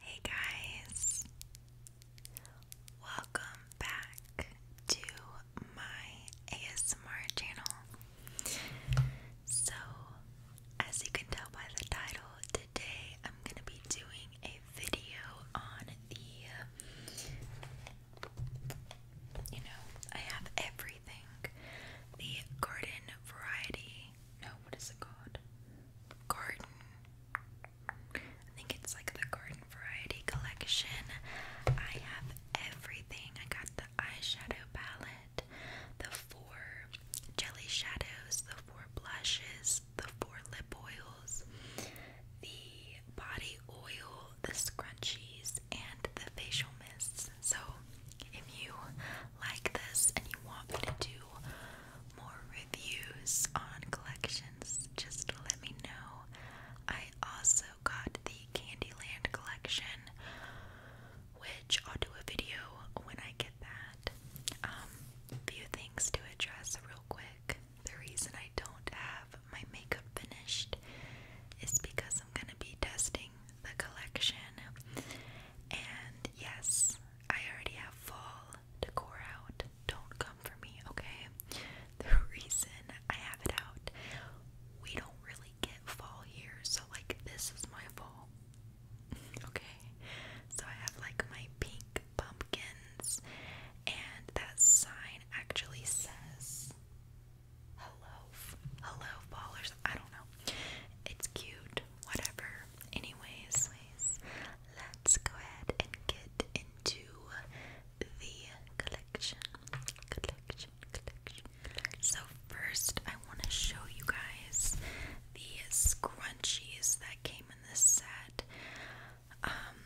Hey guys, welcome back to my ASMR channel. So, as you can tell by the title, today I'm going to be doing a video on the, you know, I have everything the garden variety. No, what is it called? garden. I think it's like the garden variety collection. I have everything. I got the eyeshadow palette, the four jelly shadows, the four blushes, the four lip oils, the body oil, the scrunchies, and the facial mists. So, if you like this and you want me to do more reviews on collections, just let me know. I also got the Candyland collection, which I'll do a video when I get that. Um, few things to address real quick. The reason I don't have my makeup finished is because I'm gonna be testing the collection. And yes, I already have fall decor out, don't come for me, okay? The reason I have it out, we don't really get fall here, so like this is my fall. okay? So I have like my pink pumpkins and that sign actually says hello hello fallers. I don't know. It's cute, whatever. Anyways, let's go ahead and get into the collection. Collection, collection. So, first, I want to show you guys the scrunchies that came in this set. Um,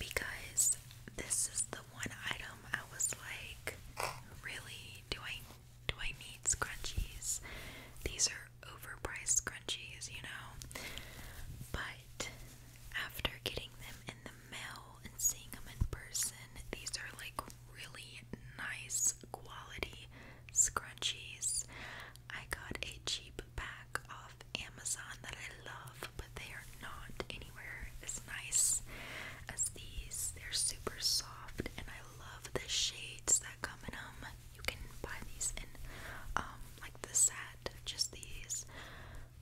because this is the one item I was like, really? Do I do I need scrunchies? These are overpriced scrunchies, you know. But after getting them in the mail and seeing them in person, these are like really nice quality scrunchies. I got a cheap pack off Amazon that I love, but they are not anywhere as nice as these. They're super soft, and I love the shades that come in them. You can buy these in um like the set, just these.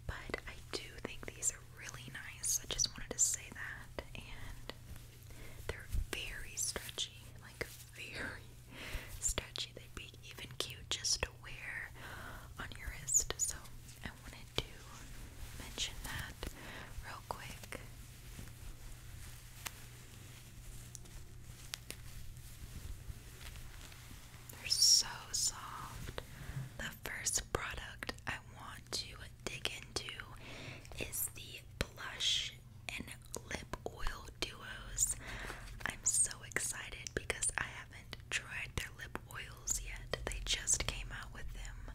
But I do think these are really nice. I just wanted to say that and they're very stretchy, like very stretchy. They'd be even cute just to wear on your wrist. So I wanted to mention that real quick. They're so soft. The first product I want to dig into is the blush and lip oil duos. I'm so excited because I haven't tried their lip oils yet. They just came out with them.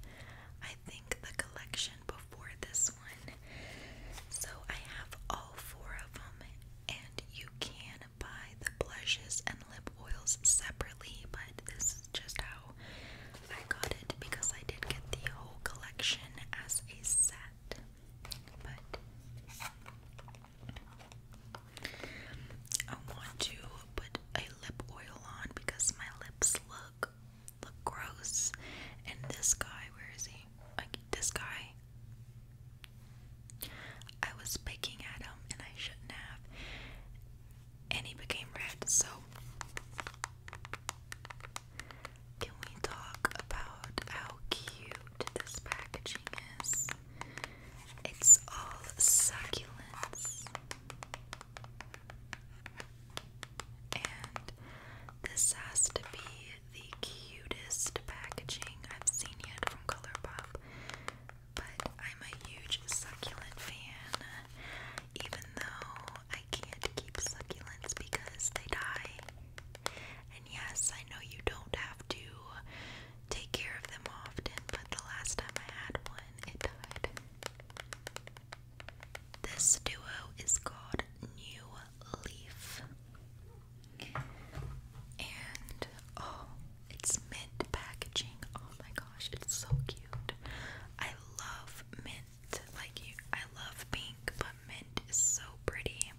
I think the collection before this one. So I have all four of them and you can buy the blushes and lip oils separately, but this is just how I got it because I did get the whole collection as a set. But I want to put a lip oil on because my lips look look gross and this guy wears a like this guy. I was picking at him and I shouldn't have. And he became red, so can we talk about how cute this packaging is? It's all succulents. And this has to be the cutest packaging I've seen yet from Colourpop. But I'm a huge succulent fan, even though I can't keep succulents because they die. And yes, I know you don't have to take care of them often, but the last time I had one, it died. This duo is called New Leaf. And oh, it's mint packaging. Oh my gosh, it's so cute. I love mint. Like I love pink, but mint is so pretty.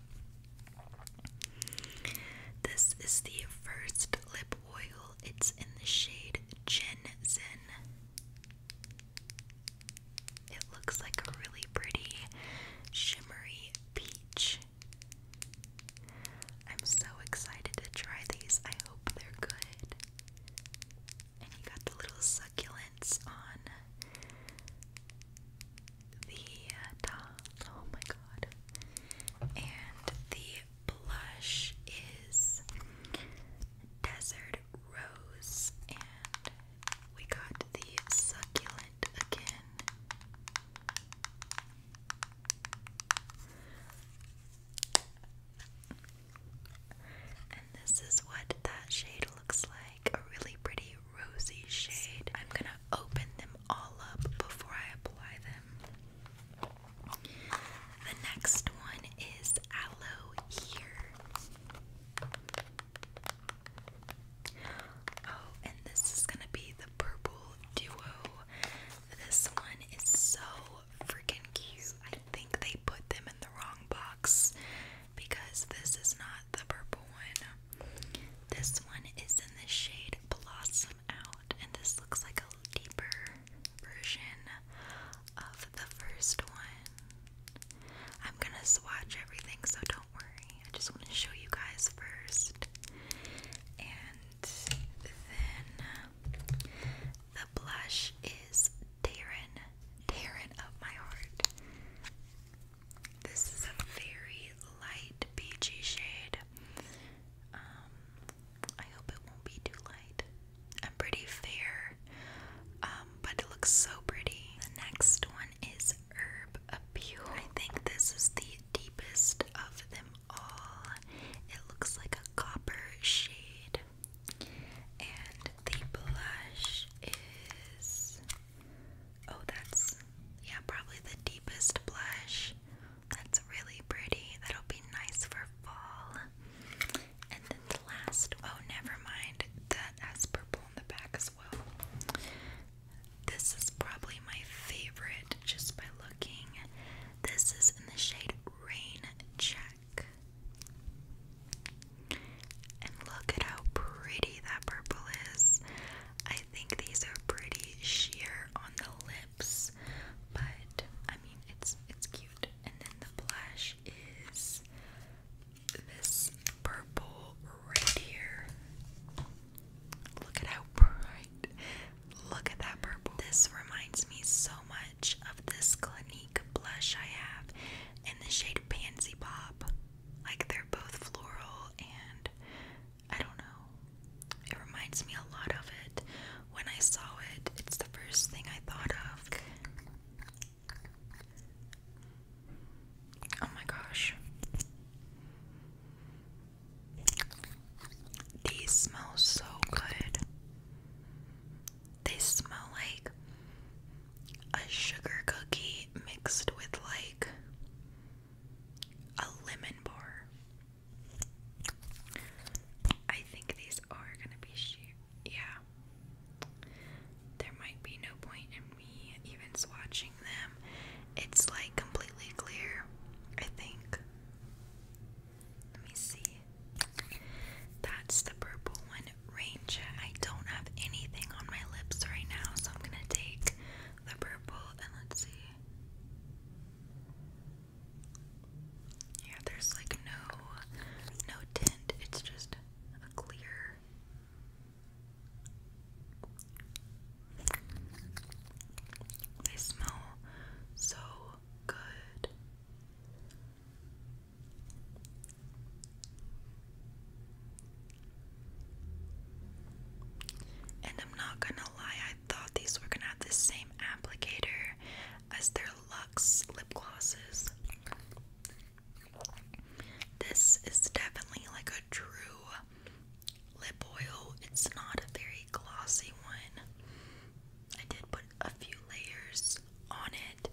This is the first lip oil. It's in the shade Zen. It looks like a really pretty shimmery peach. I'm so excited to try these. I hope they're good. And you got the little succulents on the top. Oh my god. And the blush is Desert Rose. And we got the succulent and this is what that shade looks like a really pretty rosy shade. I'm gonna open them all up before I apply them. The next one is Aloe Here. Oh, and this is gonna be the purple duo. This one is so freaking cute. I think they put them in the wrong box because this is not the purple one. This one is in the shade Blossom Out, and this looks like a deeper version of the first one. I'm gonna swatch everything, so don't don't worry. I just want to show you guys first. And then uh, the blush is Darren. Darren of my heart. This is a very light peachy shade. Um, I hope it won't be too light. I'm pretty fair, um, but it looks so pretty. The next one is Herb Appeal. I think this is the deepest of them all. It looks like a copper shade. And the blush is. Oh, that's. Yeah, probably the deepest blush. That's really pretty. That'll be nice for fall. And then the last. Oh, never mind. That has purple on the back this is probably my favorite just by looking. This is in the shade Rain Check. And look at how pretty that purple is. I think these are pretty sheer on the lips, but I mean it's it's cute. And then the blush is this purple right here. Look at how bright. Look at that purple. This reminds me so much of this Clinique blush I have in the shade Pansy Pop. Like they're both floral and I don't know. It reminds me a lot of it. When I saw it, it's the first thing I thought of. Oh my gosh. These smell so good. They smell like a sugar cookie mixed with like a lemon bar. I think these are gonna be Yeah. There might be no point in even swatching them, it's like completely clear, I think. Let me see. That's the purple one, Ranger. I don't have anything on my lips right now, so I'm gonna take the purple and let's see. Yeah, there's like no no tint. It's just a clear they smell so good. And I'm not gonna lie, I thought these were gonna have the same applicator as their Lux lip glosses. This is definitely like a true lip oil. It's not a very glossy one. I did put a few layers on it,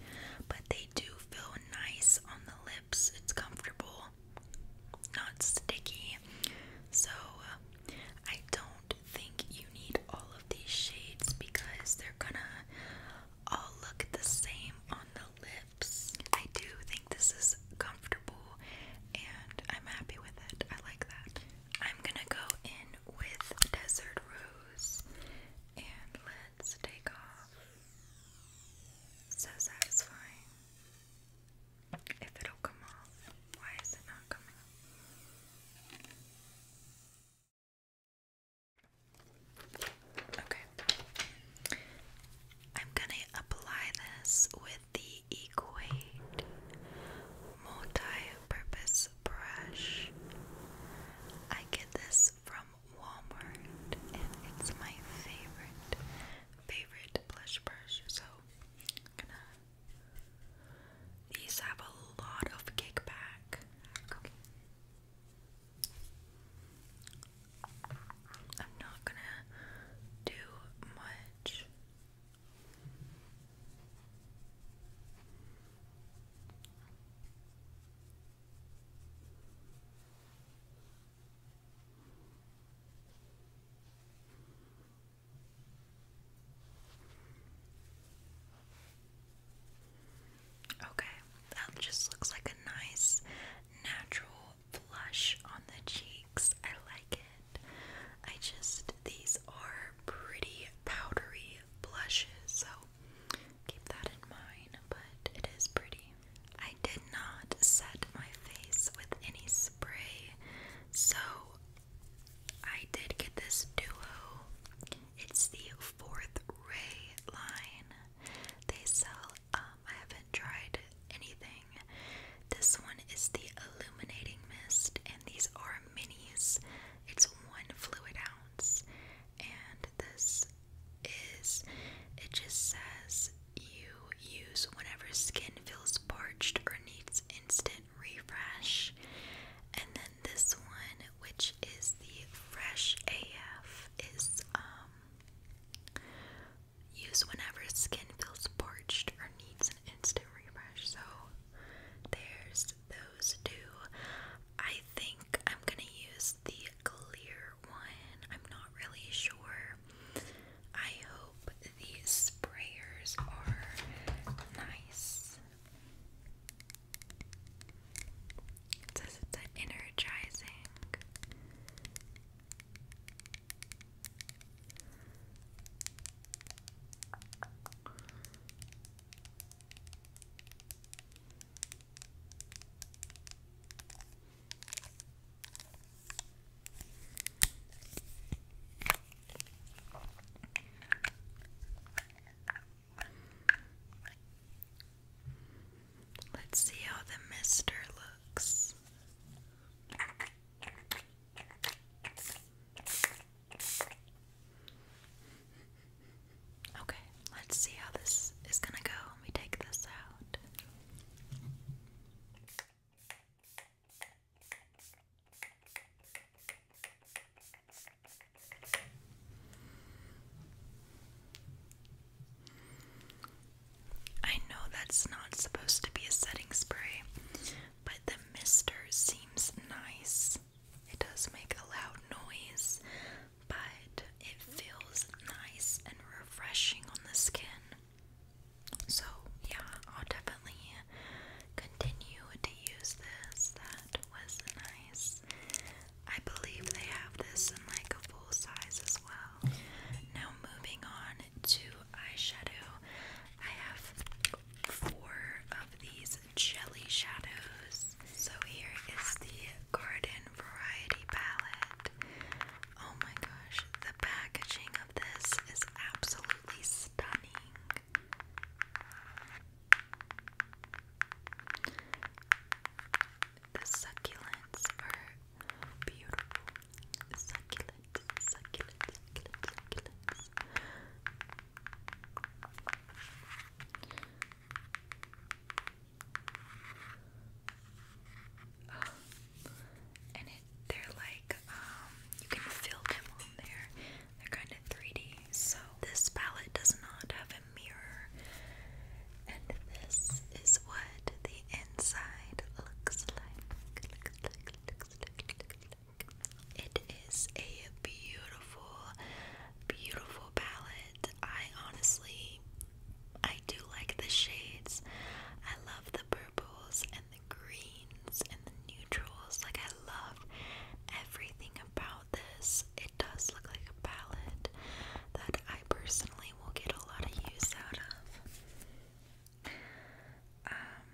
but they do feel nice on the lips. It's comfortable, not sticky. So I don't think you need all of these shades because they're gonna all look the same on the lip. I do think this is comfortable and I'm happy with it. I like that. I'm gonna go in with Desert Rose and let's take off. So satisfying. If it'll come off, why is it not coming Okay. I'm gonna apply this with the Equate multi-purpose brush. I get this from Walmart and it's my favorite favorite blush brush. So these have a lot of kickback. Okay. I'm not gonna do much. Okay, that just looks like a nice natural blush on the cheeks. I like it. I just, these are pretty powdery blushes, so keep that in mind, but it is pretty. I did not set my face with any spray, so I did get this duo. It's the Fourth Ray line. They sell um um, I haven't tried anything. This one is the illuminating mist, and these are minis. It's one fluid ounce, and this is it just says you use whenever skin feels parched or needs instant refresh. And then this one, which is the Fresh AF, is um Use whenever skin feels parched or needs an instant refresh. So there's those two. I think I'm gonna use the clear one. I'm not really sure. I hope these sprayers are nice. It says it's an energizing Let's see how the mister looks. Okay, let's see how this is gonna go we take this out. I know that's not supposed to be a setting spray, but the mister seems nice. It does make a loud noise, but it feels nice and refreshing on the skin. So, yeah, I'll definitely continue to use this. That was nice. I believe they have this in like a full size as well. Now, moving on to eyeshadow. I have four of these jelly shadows. So here is the Garden Variety palette. Oh my gosh, the packaging of this is absolutely stunning. The succulents are beautiful succulent, succulent, succulent, succulents. and they're like, um, you can fill them on there. They're kind of 3D. So this palette does not have a mirror. And this is what the inside looks like. It is a beautiful, beautiful palette. I honestly, I do like the shades. I love the purples and the greens and the neutrals. Like, I love everything about this. It does look like a palette that I personally will get a lot of use out of. Um,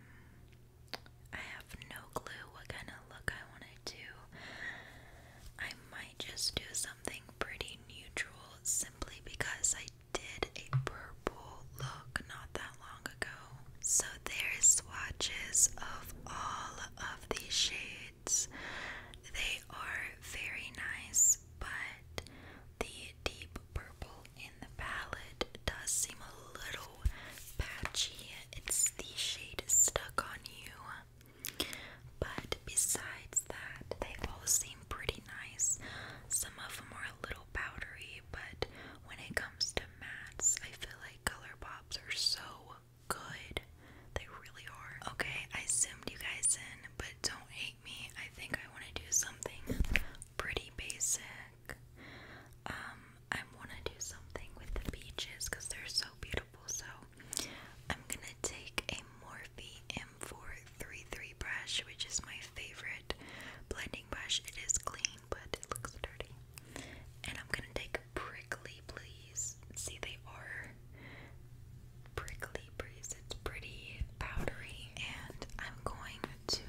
I have no clue what kind of look I want to do. I might just do something pretty neutral simply because I did a purple look not that long ago. So there's swatches of all of these shades. They are very nice, but the deep purple in the palette does seem a little patchy. It's the shade stuck on you. But besides that, they all seem pretty nice. Some of them are a little powdery, but when it comes to mattes, I feel like color pops are so good. They really are. Okay, I zoomed you guys in, but don't hate me. I think I want to do something pretty basic back. Um, I want to do something with the beaches because they're so beautiful. So I'm gonna take a Morphe M433 brush, which is my favorite blending brush. It is clean, but it looks dirty. And I'm gonna take a Prickly Please. See, they are prickly breeze. It's pretty powdery, and I'm going to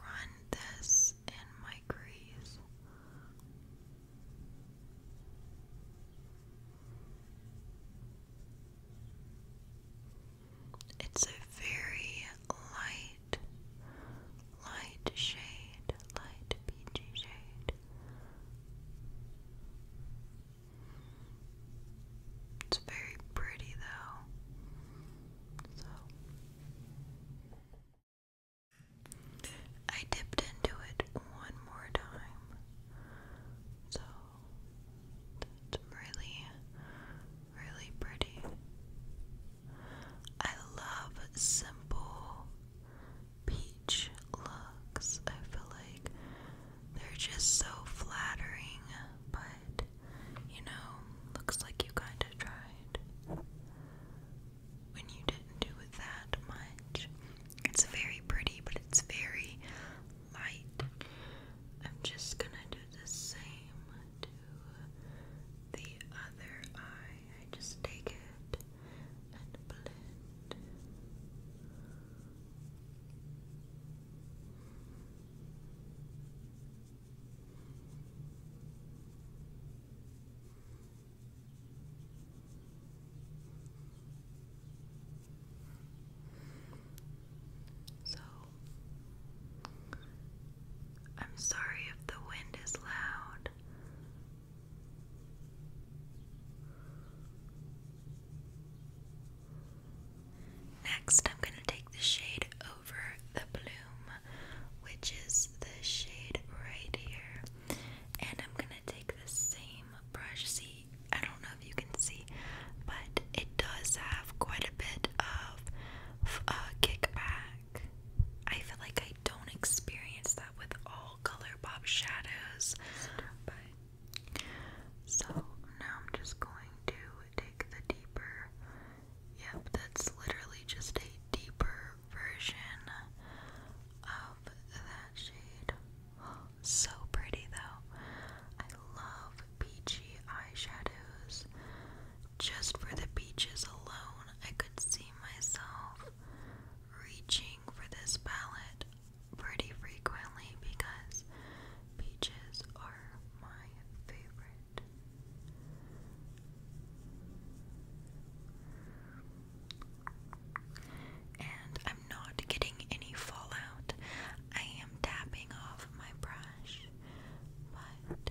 run this in my crease. It's a very light, light shade, light peachy shade. It's very pretty though. So I dipped into it one more time. So it's really, really pretty. I love simple peach looks. I feel like they're just so flattering, but you know, looks like you kinda tried. When you didn't do it that much. It's very pretty, but it's very light. I'm just gonna do the same to the other eye. I just take it and blend. So, I'm sorry if the wind is loud. Next, I'm going to take the shade over the bloom, which is the shade right here. And I'm going to take the same brush. See, I don't know if you can see, but it does have quite a bit of uh, kickback. I feel like I don't experience that with all Color Pop shadows, so now I'm just going to take the deeper. Yep, that's literally just a deeper version of that shade. so pretty though. I love peachy eyeshadows. Just for the peaches alone, I could see myself reaching for this palette pretty frequently because Peaches are my favorite. And I'm not getting any fallout. I am tapping off my brush, but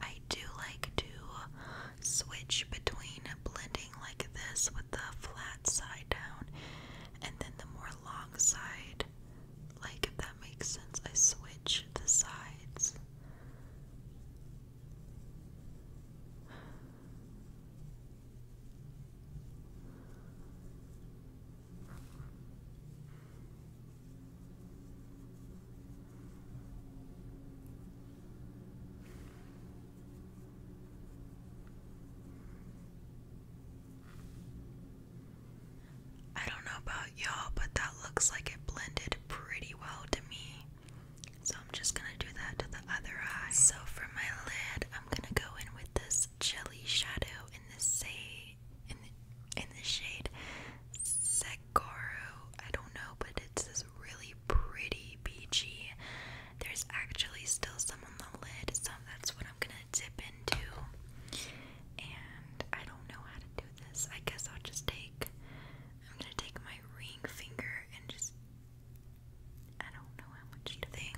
I do like to switch between blending like this with the flat side down and then the more long side. Like, if that makes sense, I switch the sides. I don't know about y'all, but that looks like it blended pretty well to me. So I'm just gonna do that to the other eye. So for my lid, I'm gonna go in with this jelly shadow in the say in the, shade Sekoro. I don't know, but it's this really pretty beachy. There's actually still some on the lid, so that's what I'm gonna dip into. And I don't know how to do this. I guess I'll just take. I'm gonna take my ring finger and just. I don't know how much to think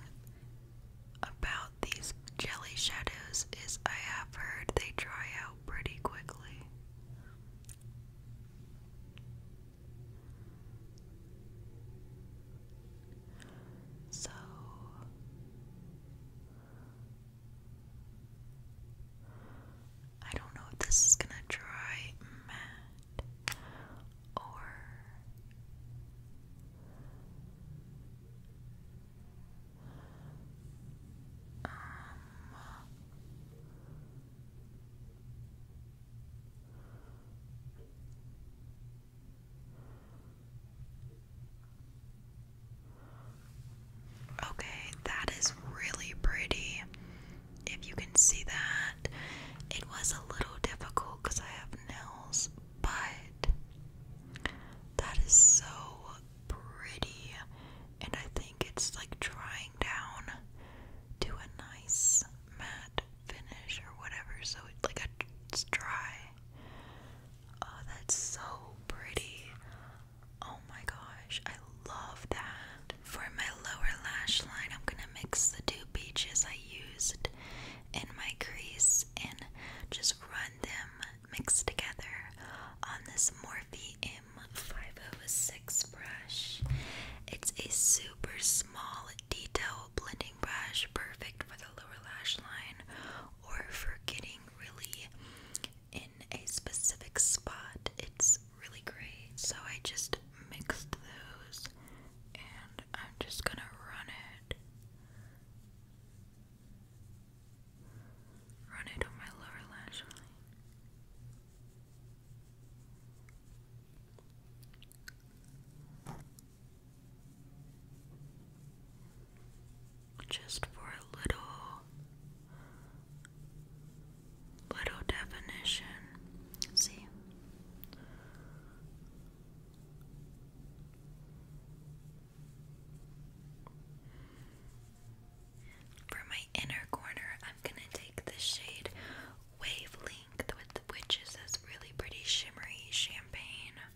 about these jelly shadows is I have heard they dry out pretty quickly. So I don't know if this is gonna dry matte or um, Okay, that is really pretty. If you can see that, it was a little difficult because I have nails, but that is so pretty, and I think it's like drying down to a nice matte finish or whatever, so it's like a, it's dry. Oh, that's so pretty. Oh my gosh, I love that. For my lower lash line, I'm gonna mix the two peaches I used in my crease and just run them mixed together on this Morphe m five oh six brush. It's a super small detail blending brush, perfect for the lower lash line or for getting really in a specific spot. It's really great. So I just mixed those and I'm just gonna run it. Run it on my lower lash line. Just for a little little definition. see. For my inner corner, I'm gonna take the shade Wavelength, which is this really pretty shimmery champagne.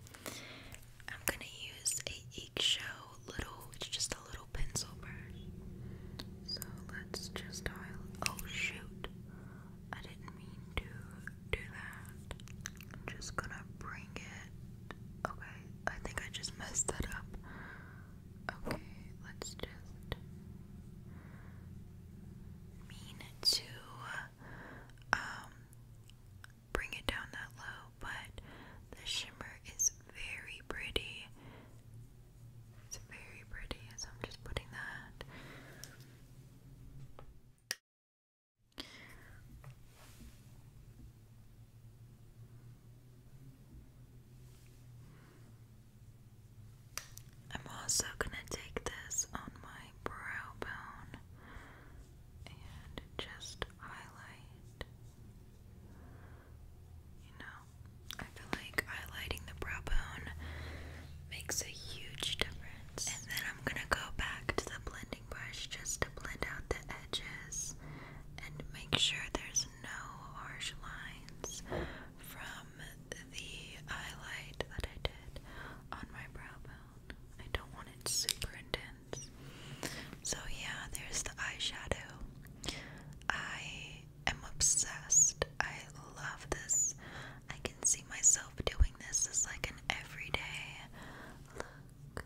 I'm gonna use a eggshell little, it's just a little pencil brush. So let's just Oh shoot! I didn't mean to do that. I'm just gonna bring it. Okay, I think I just messed that up. Okay, let's just mean to. Uh, um, bring it down that low, but the shimmer is very pretty. It's very pretty, so I'm just putting that. I'm also going to take this on my brow bone and just highlight. You know, I feel like highlighting the brow bone makes a huge difference. And then I'm gonna go back to the blending brush just to blend out the edges and make sure there's no harsh lines from the highlight that I did on my brow bone. I don't want it super intense. So, yeah, there's the eyeshadow. I am obsessed. I love this. I can see myself doing this as like an everyday look.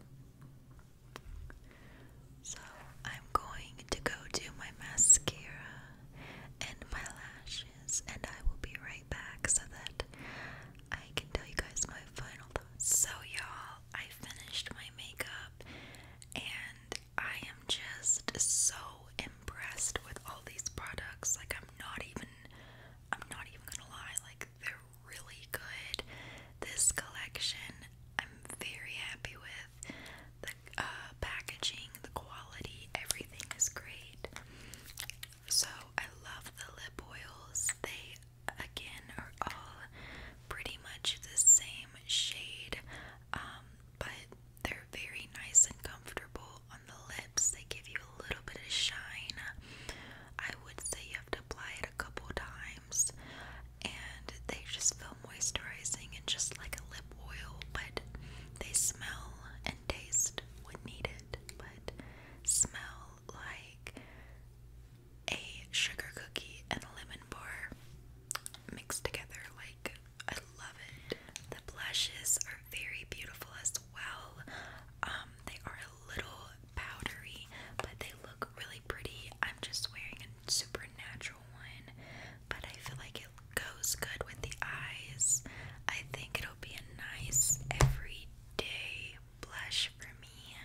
So, I'm going to go do my mascara and my lashes, and I will be right back so that I can tell you guys my final thoughts. So, y'all, I finished my makeup and I am just so impressed with all these products. Like, I'm not even, I'm not even gonna lie, like, they're really good. This collection, I'm very happy with. The uh, packaging, the quality, everything is great. So I love the lip oils. They again are all pretty much the same shade, um, but they're very nice and comfortable on the lips. They give you a little bit of shine. I would say you have to apply it a couple times, and they just feel moisturizing and just like a lip oil, but they smell and taste when needed. But smell like a sugar cookie and a lemon bar mixed together. Like, I love it. The blushes are very beautiful as well. Um, they are a little powdery, but they look really pretty. I'm just wearing a super natural one, but I feel like it goes good with the eyes. I think it'll be a nice everyday blush for me.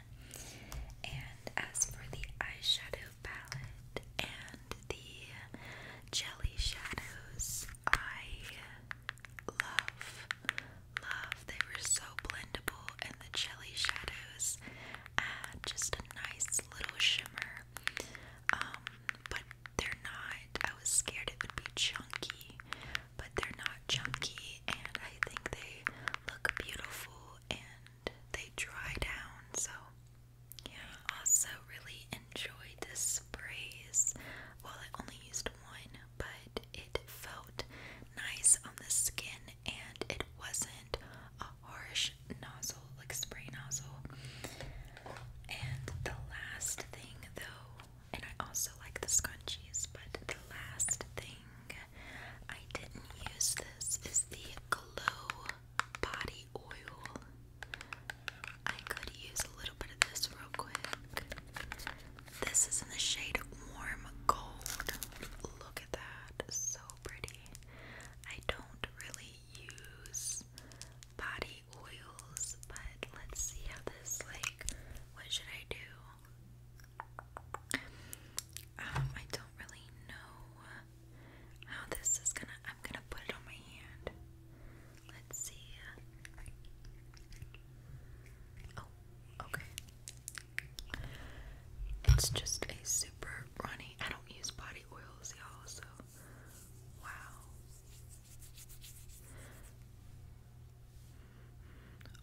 And as for the eyeshadow palette and the jelly shadows, I love, love. They were so blendable, and the jelly shadows add just a nice little shimmer. Um, but they're not. I was scared it would be chunky, but they're not chunky, and I think they look beautiful and they dry down. So, yeah, I also really enjoyed this sprays. Well, I only used one, but it felt nice on the skin, and it wasn't a harsh nozzle, like spray nozzle. And the last thing, though, and I also like the scrunchies, but the last thing I didn't use this is the Glow Body Oil. I could use a little bit of this real quick. This is in the shade Warm Gold. Look at that, so pretty. I don't really use body oils, but let's see how this like what should I do? Um, I don't really know how this is gonna. I'm gonna put it on my hand. Let's see. Oh, okay. It's just a super runny. I don't use body oils, y'all. So, wow.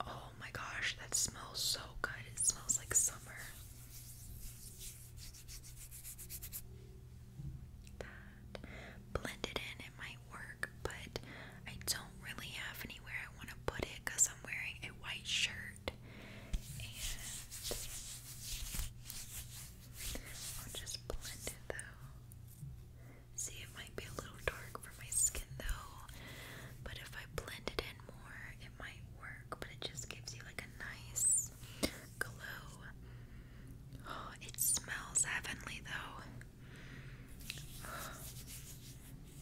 Oh my gosh, that smells so good. It smells like summer. That blended in, it might work, but I don't really have anywhere I want to put it because I'm wearing a white shirt. And I'll just blend it though. See, it might be a little dark for my skin though, but if I blend it in more, it might work. But it just gives you like a nice glow. Oh, it smells heavenly though.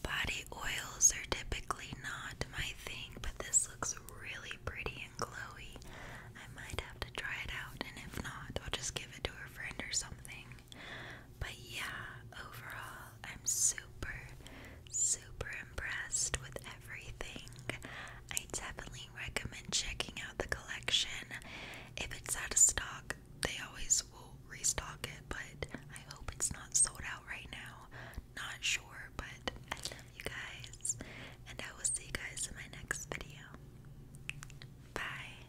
Body oils are typically not my thing, but this looks really pretty and glowy. I might have to try it out, and if not, I'll just give it to a friend or something. But yeah, overall, I'm super, super impressed with everything. I definitely recommend checking out the collection. If it's out of stock, they always will restock it, but I hope it's not sold out right now. Not sure, but I love you guys, and I will see you guys in my next video. Bye.